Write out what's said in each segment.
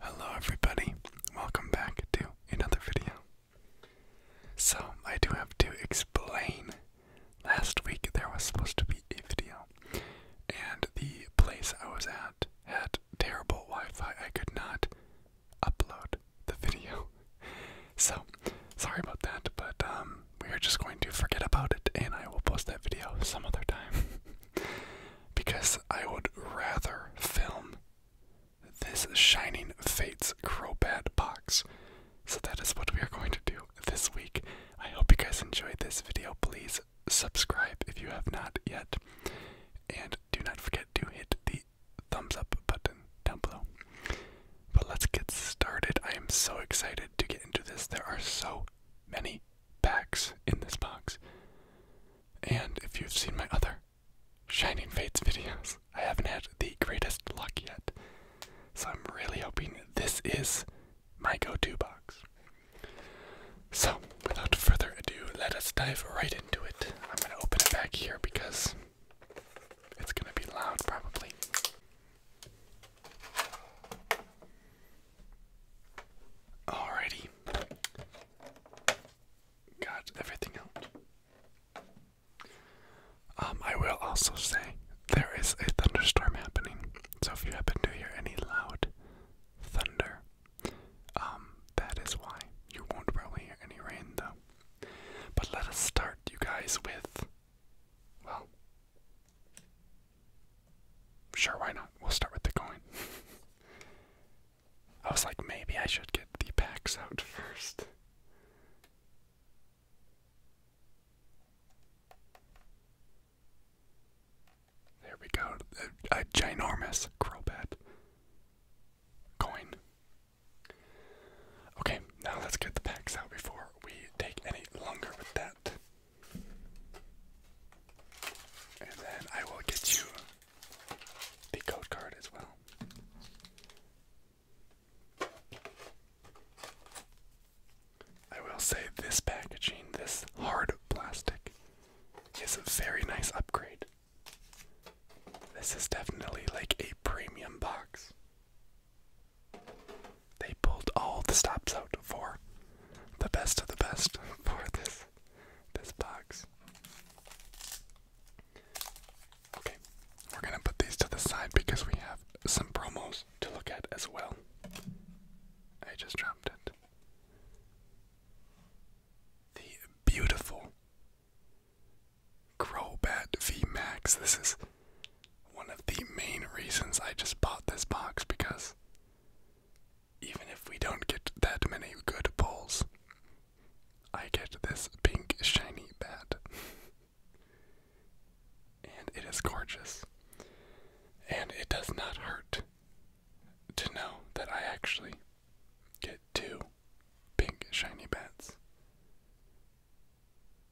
Hello everybody, welcome back to another video. So, I do have to explain. Last week there was supposed to be a video, and the place I was at had terrible Wi Fi. I could not upload the video. So, sorry about that, but um, we are just going to forget about it, and I will post that video some other time. because I would rather film this Shining Fates Crobat box. So that is what we are going to do this week. I hope you guys enjoyed this video. Please subscribe if you have not yet. And do not forget to hit the thumbs up button down below. But let's get started. I am so excited to get into this. There are so many packs in this box. And if you've seen my other Shining Fates videos, I haven't had the greatest luck yet. So I'm really hoping this is my go to box. So, without further ado, let us dive right into it. I'm going to open it back here because it's going to be loud probably. Alrighty. Got everything out. Um, I will also say there is a thunderstorm happening, so if you happen to hear any loud thunder, um, that is why. You won't probably hear any rain though. But let us start, you guys, with. Well, Sure, why not? We'll start with the coin. I was like, maybe I should get the packs out first. There we go. A, a ginormous crowbat coin. Okay, now let's get the packs out before we take any longer with that. And then I will get you the code card as well. I will say this packaging, this hard plastic, is a very nice upgrade. This is definitely like a premium box. They pulled all the stops out for the best of the best for this this box. Okay, we're gonna put these to the side because we have some promos to look at as well. I just dropped it. The beautiful Crobat V Max. This is one of the main reasons I just bought this box because even if we don't get that many good pulls, I get this pink shiny bat. and it is gorgeous. And it does not hurt to know that I actually get two pink shiny bats.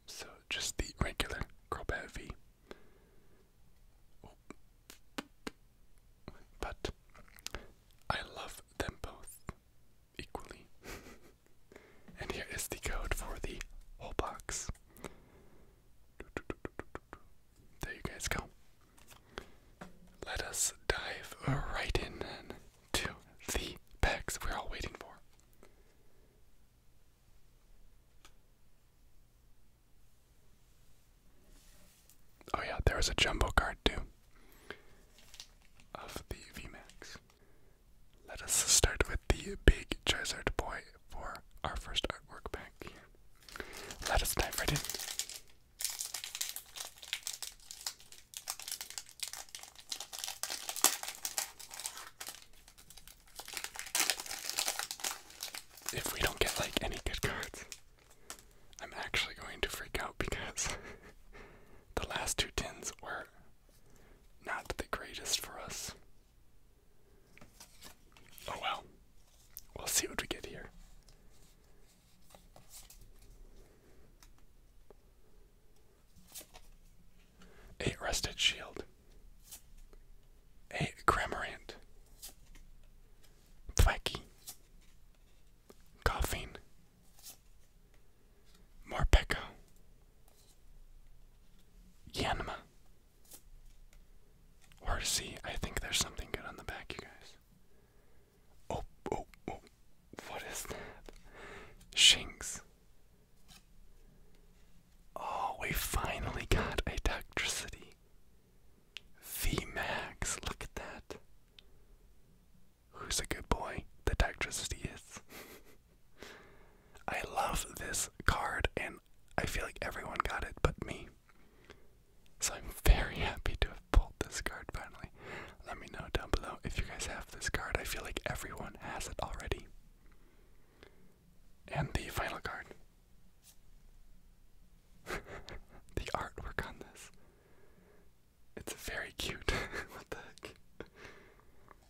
So just the regular Crobat V. But I love them both equally. and here is the code for the whole box. There you guys go. Let us dive right in to the packs we're all waiting for. Oh yeah, there was a jumbo card too of the VMAX. Let us start with the big Charizard boy for our first artwork back Let us dive right in. If we don't get like any good cards, I'm actually going to freak out because the last two tins were not the greatest for us. Oh well. We'll see what we get here a Rusted Shield, a Grammarant, Thwacky, Coughing, Morpeko, Yanma, Horsey. I think there's something good on the back, you guys. Oh, oh, oh. What is that? Shinx. Oh, we finally got electricity. VMAX, look at that. Who's a good boy? The electricity is. I love this card, and I feel like everyone got it but me. So I'm very happy to have pulled this card finally. Let me know down below if you guys have this card. I feel like everyone has it already. And the final card. the artwork on this. It's very cute. what the heck? It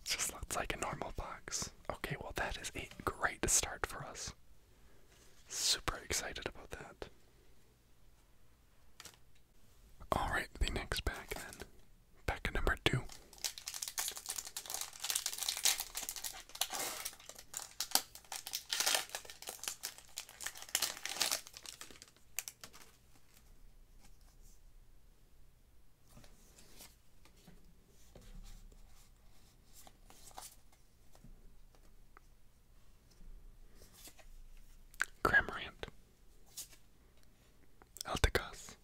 just looks like a normal box. Okay, well, that is a great start for us. Super excited about that. Alright, the next pack then Pack number two. Cramorant, Elticos,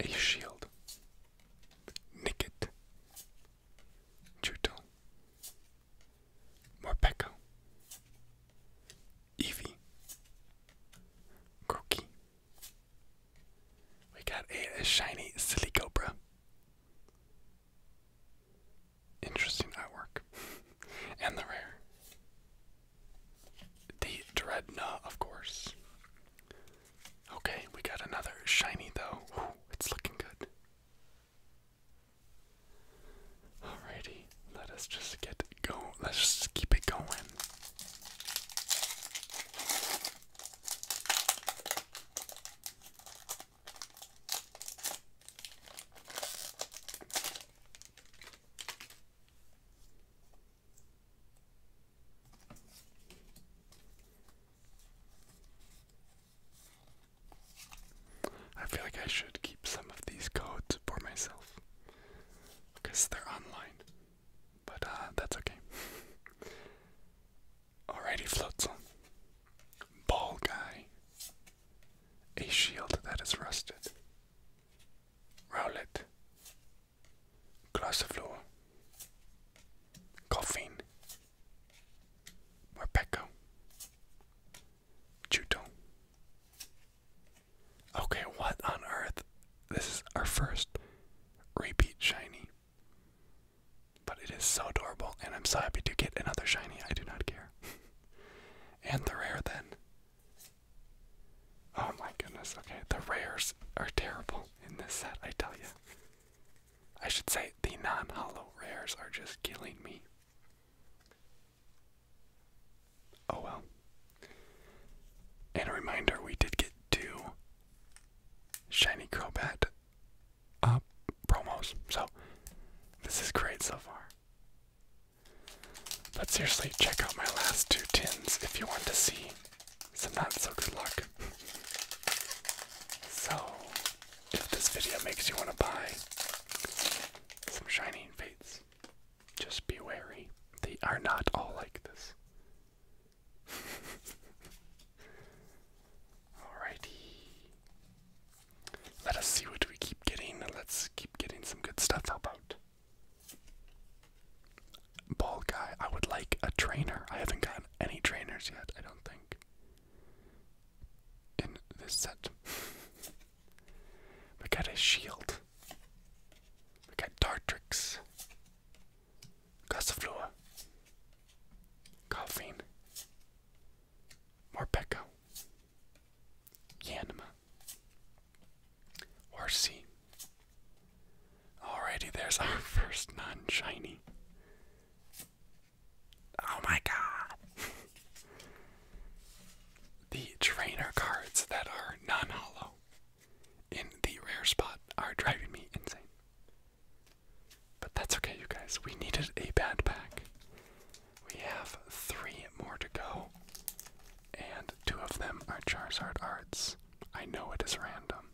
a shield. Nikit, Juto, Morpeko, Eevee, Groki. We got a shiny silly cobra. Interesting artwork. and the rare. The Dreadnought, of course. Okay, we got another shiny though. it's looking good. Alrighty, let us just get going. Let's just keep it going. I feel like I should keep some of these codes for myself because they're online, but uh, that's okay. Alrighty, Floatzel. Ball guy. A shield that is rusted. Roll it. Glossiflora, Coffeen, Morpeko, Juto. Okay, what on earth? This is our first repeat shiny. But it is so adorable, and I'm so happy to get another shiny. I do not care. and the rare then. Oh my goodness, okay, the rares are terrible in this set, I tell you. I should say the non hollow rares are just killing me. Oh well. And a reminder we did get two Shiny Crobat up uh, promos, so this is great so far. But seriously, check out my last two tins if you want to see some not so good luck. so, if this video makes you want to buy some Shining Fates, just be wary. They are not all like this. Alrighty. Let us see what we keep getting. Let's keep getting some good stuff. How Ball guy. I would like a trainer. I haven't gotten any trainers yet, I don't think. In this set. we got a shield. We got Dartrix. Gossiflua. Coughing. Morpeko. Yanma. Or Alrighty, there's our first non shiny. Oh my god! the trainer cards that are non hollow in the rare spot are driving me insane. But that's okay, you guys. We needed a bad pack. We have three more to go, and two of them are Charizard Arts. I know it is random,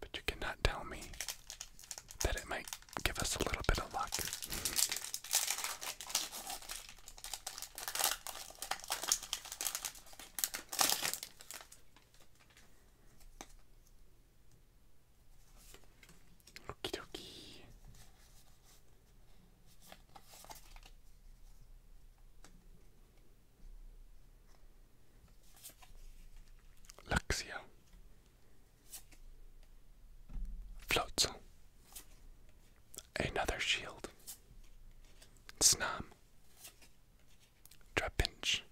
but you cannot tell me that it might give us a little bit of luck. Okie dokie. Luxia floats another shield Snam Trapinch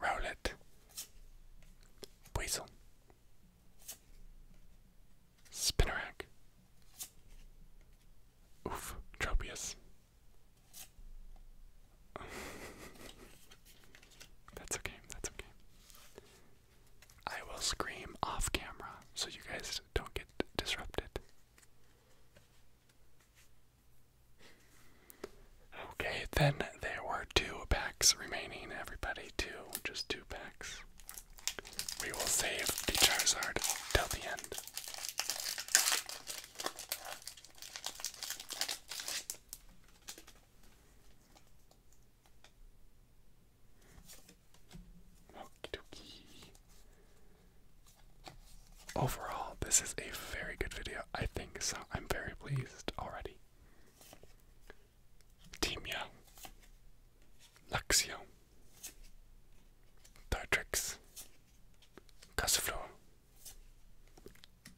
Rowlet Weasel Spinnerack. Oof, Tropius. that's okay, that's okay. I will scream off camera so you guys don't get disrupted. Okay, then there were two packs remaining, everybody. Two just two packs. We will save the Charizard till the end. Overall, this is a very good video. I think so. I'm very pleased already. Timia, Luxio, Dartrix, Gusflor,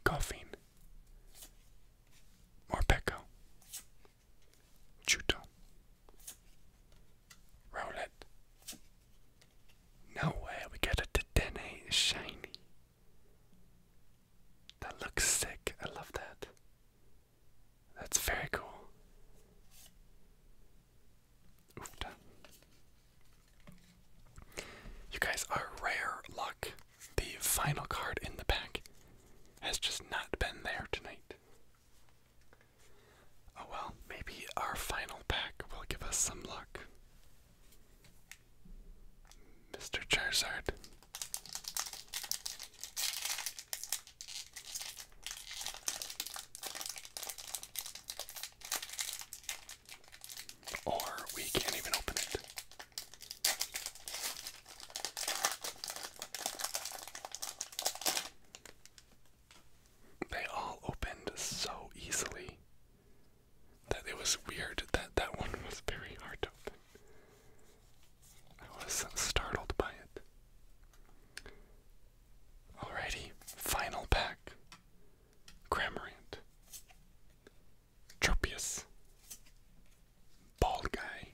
Goffin, Morpeko, Chuto, Rowlet. No way, we got a DNA shiny. That looks sick, I love that. That's very cool. Oofta. You guys are rare luck. The final card in the pack has just not been there tonight. Oh well, maybe our final pack will give us some luck. Mr. Charizard, or we can't even open it. They all opened so easily that it was weird that that one was very hard to open. I was startled by it. Alrighty, final pack. Cramorant. Tropius. Bald Guy.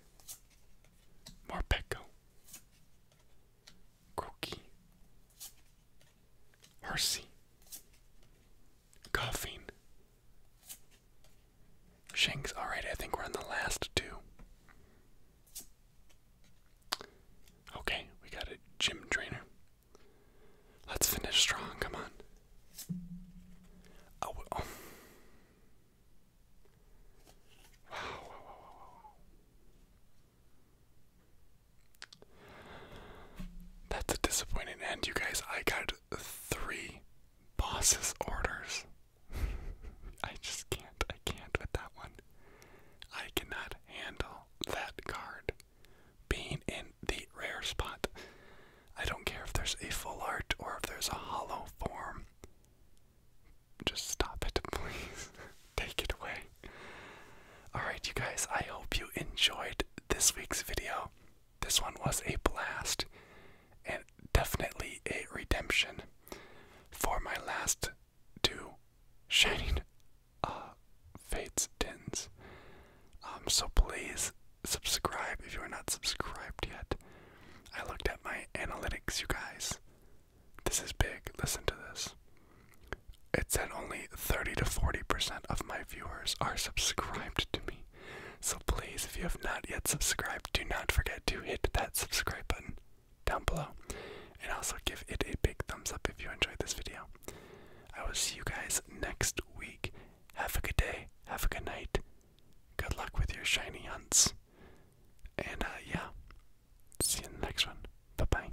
Morpeko. Groki. Hersey coughing. Shanks, alright, I think we're on the last two. Okay, we got a gym trainer. Let's finish strong, come on. Oh, oh. wow. That's a disappointing end, you guys. I got three Boss's orders. I just can't. I can't with that one. I cannot handle that card being in the rare spot. I don't care if there's a full art or if there's a hollow form. Just stop it, please. Take it away. Alright, you guys, I hope you enjoyed this week's video. This one was a blast and definitely a redemption for my last two shining uh, fates tins. Um, so please subscribe if you are not subscribed yet. I looked at my analytics, you guys. This is big. Listen to this. It said only 30 to 40% of my viewers are subscribed to me. So please, if you have not yet subscribed, do not forget to hit that subscribe button down below. And also give it a big thumbs up if you enjoyed this video. I will see you guys next week. Have a good day. Have a good night. Good luck with your shiny hunts. And uh, yeah, see you in the next one. Bye bye.